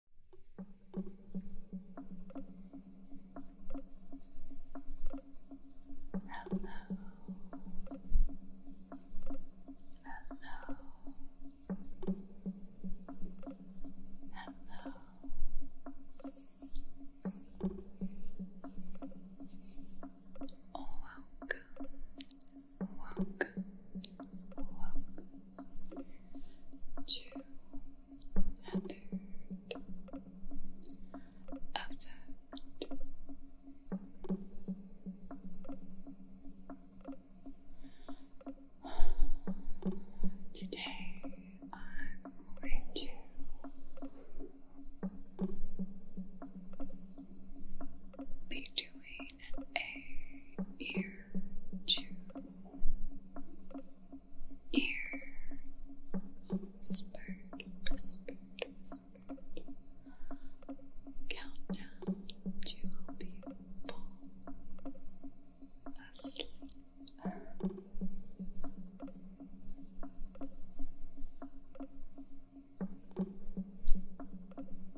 Hello. Hello. Hello. welcome. Welcome. Welcome to a third Today I'm going to be doing a ear to ear whispered, whispered, whispered to help you fall asleep.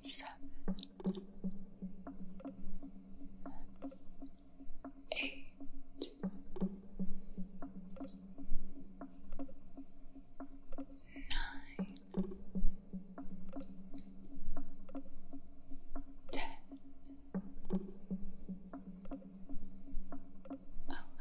seven, eight, nine, ten, eleven.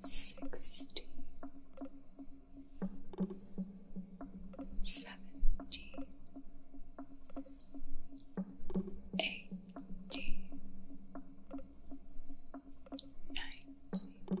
sixty, seventy, eighty, ninety, twenty.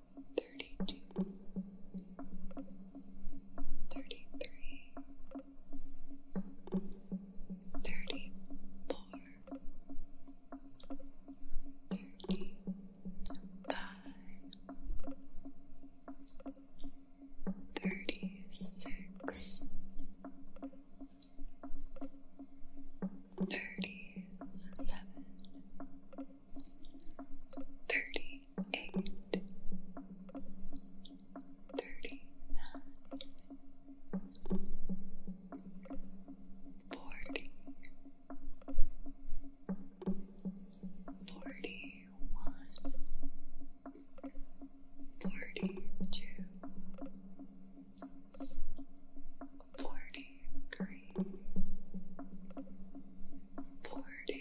thirty-two, thirty-three, thirty-four, thirty-five, thirty-six, thirty-seven. 36 35 thirty-eight, thirty-nine, forty, forty-one, forty-two, Forty-three, forty-four,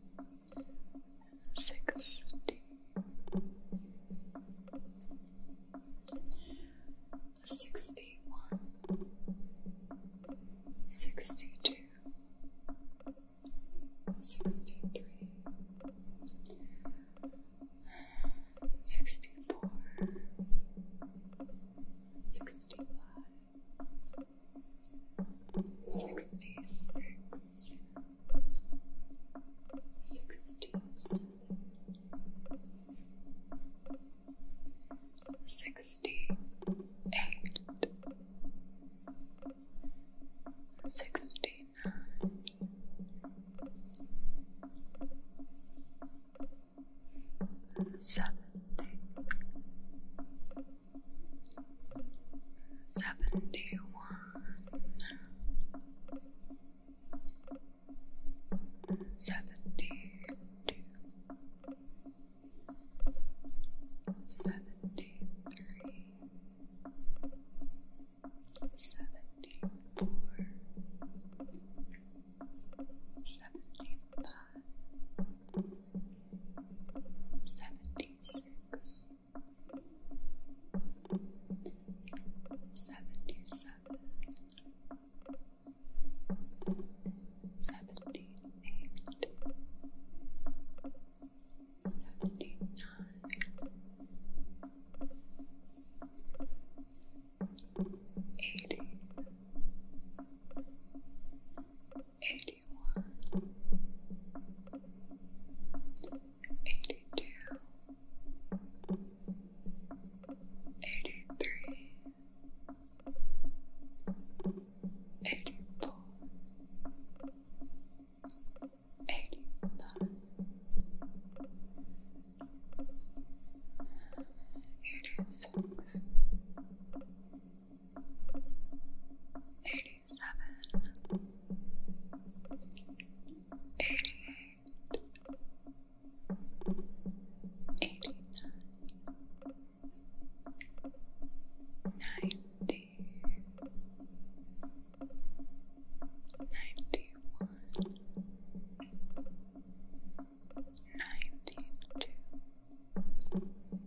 Sixty. Sixty one. Sixty two. Sixty three. Sixty four. Sixty five. Sixty-six, sixty-seven, sixty-eight, sixty-nine, seventy seventy one, seventy two, seventy three, seventy four, seventy five seventy six, seventy seven, seventy eight, seventy nine, eighty. 81 82 83 84 85 Eighty one, eighty two, eighty three, eighty four, eighty five, eighty six. Eighty-seven, eighty-eight, eighty-nine, ninety, ninety-one, ninety-two.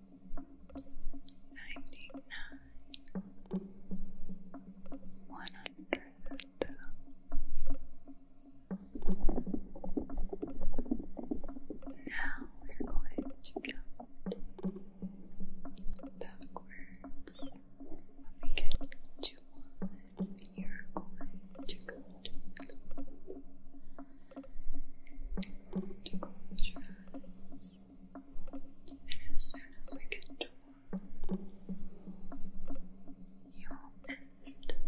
ninety nine, one hundred. Now we're going to count backwards. When we get to one, you're going to go to close your eyes and as soon as we get to one, you will instantly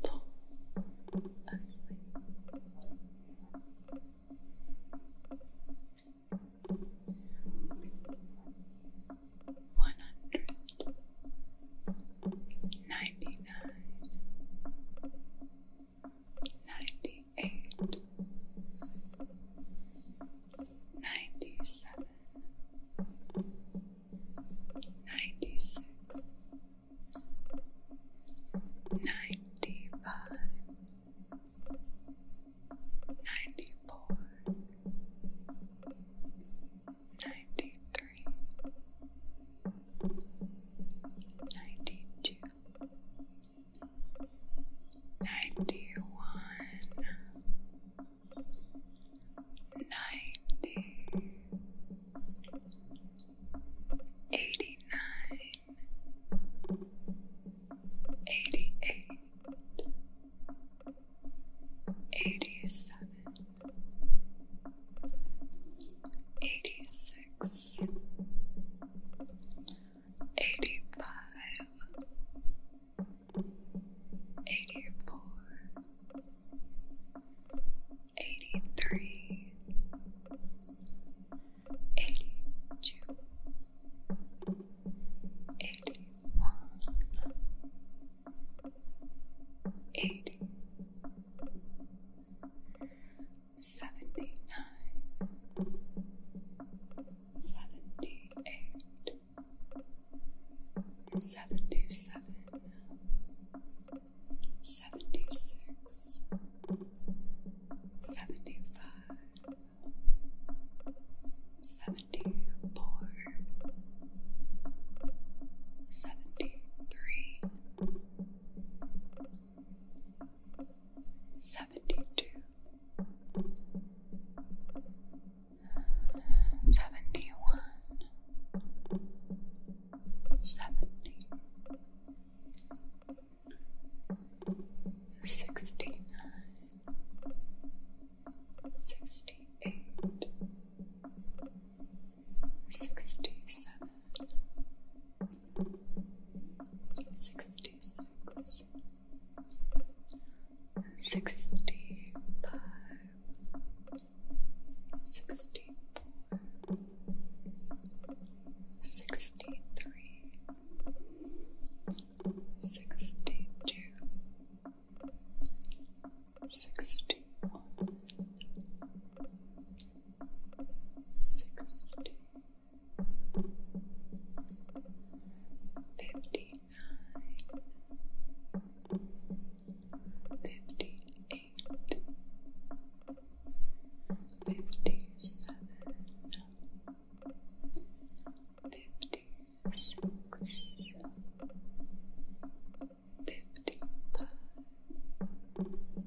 fall asleep. One hundred ninety nine. Ninety-eight, ninety-seven, ninety-six, ninety-five, ninety-four, ninety-three, ninety-two. 91 ninety one, ninety, eighty nine, eighty eight, eighty seven, eighty six six, eighty five, eighty four, eighty three, eighty two, eighty one. Eighty, seventy-nine, seventy-eight, seventy-seven, seventy-six, seventy-five, seventy-four, seventy-three. 73 seventy two, seventy one, seventy sixty nine, sixty eight. 69 sixty-seven, sixty-six, sixty-five, sixty-four, sixty-three, sixty-two, Sixty one, sixty, fifty-nine, fifty-eight, fifty-seven, fifty-six, fifty-five.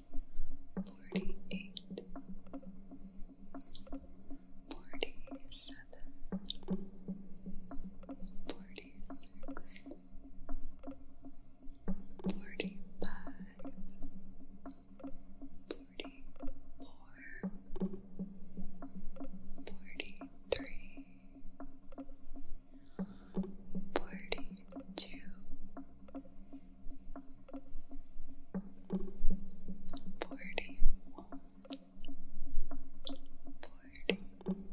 forty-eight, forty-seven, forty-six, forty-five, forty-four, forty-three, Forty-two, Forty-two, forty-one, forty, thirty-nine, thirty-eight, thirty-seven.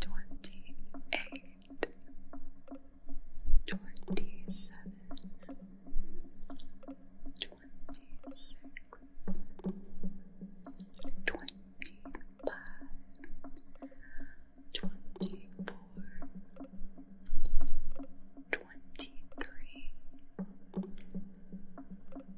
twenty-eight, twenty-seven, twenty-six, twenty-five, twenty-four, twenty-three, Twenty-two,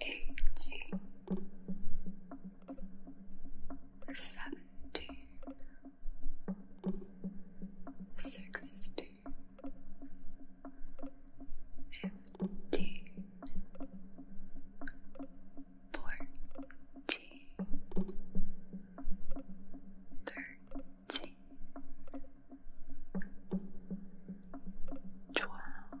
eighteen, seventeen, sixteen, fifteen, fourteen, thirteen. Twelve,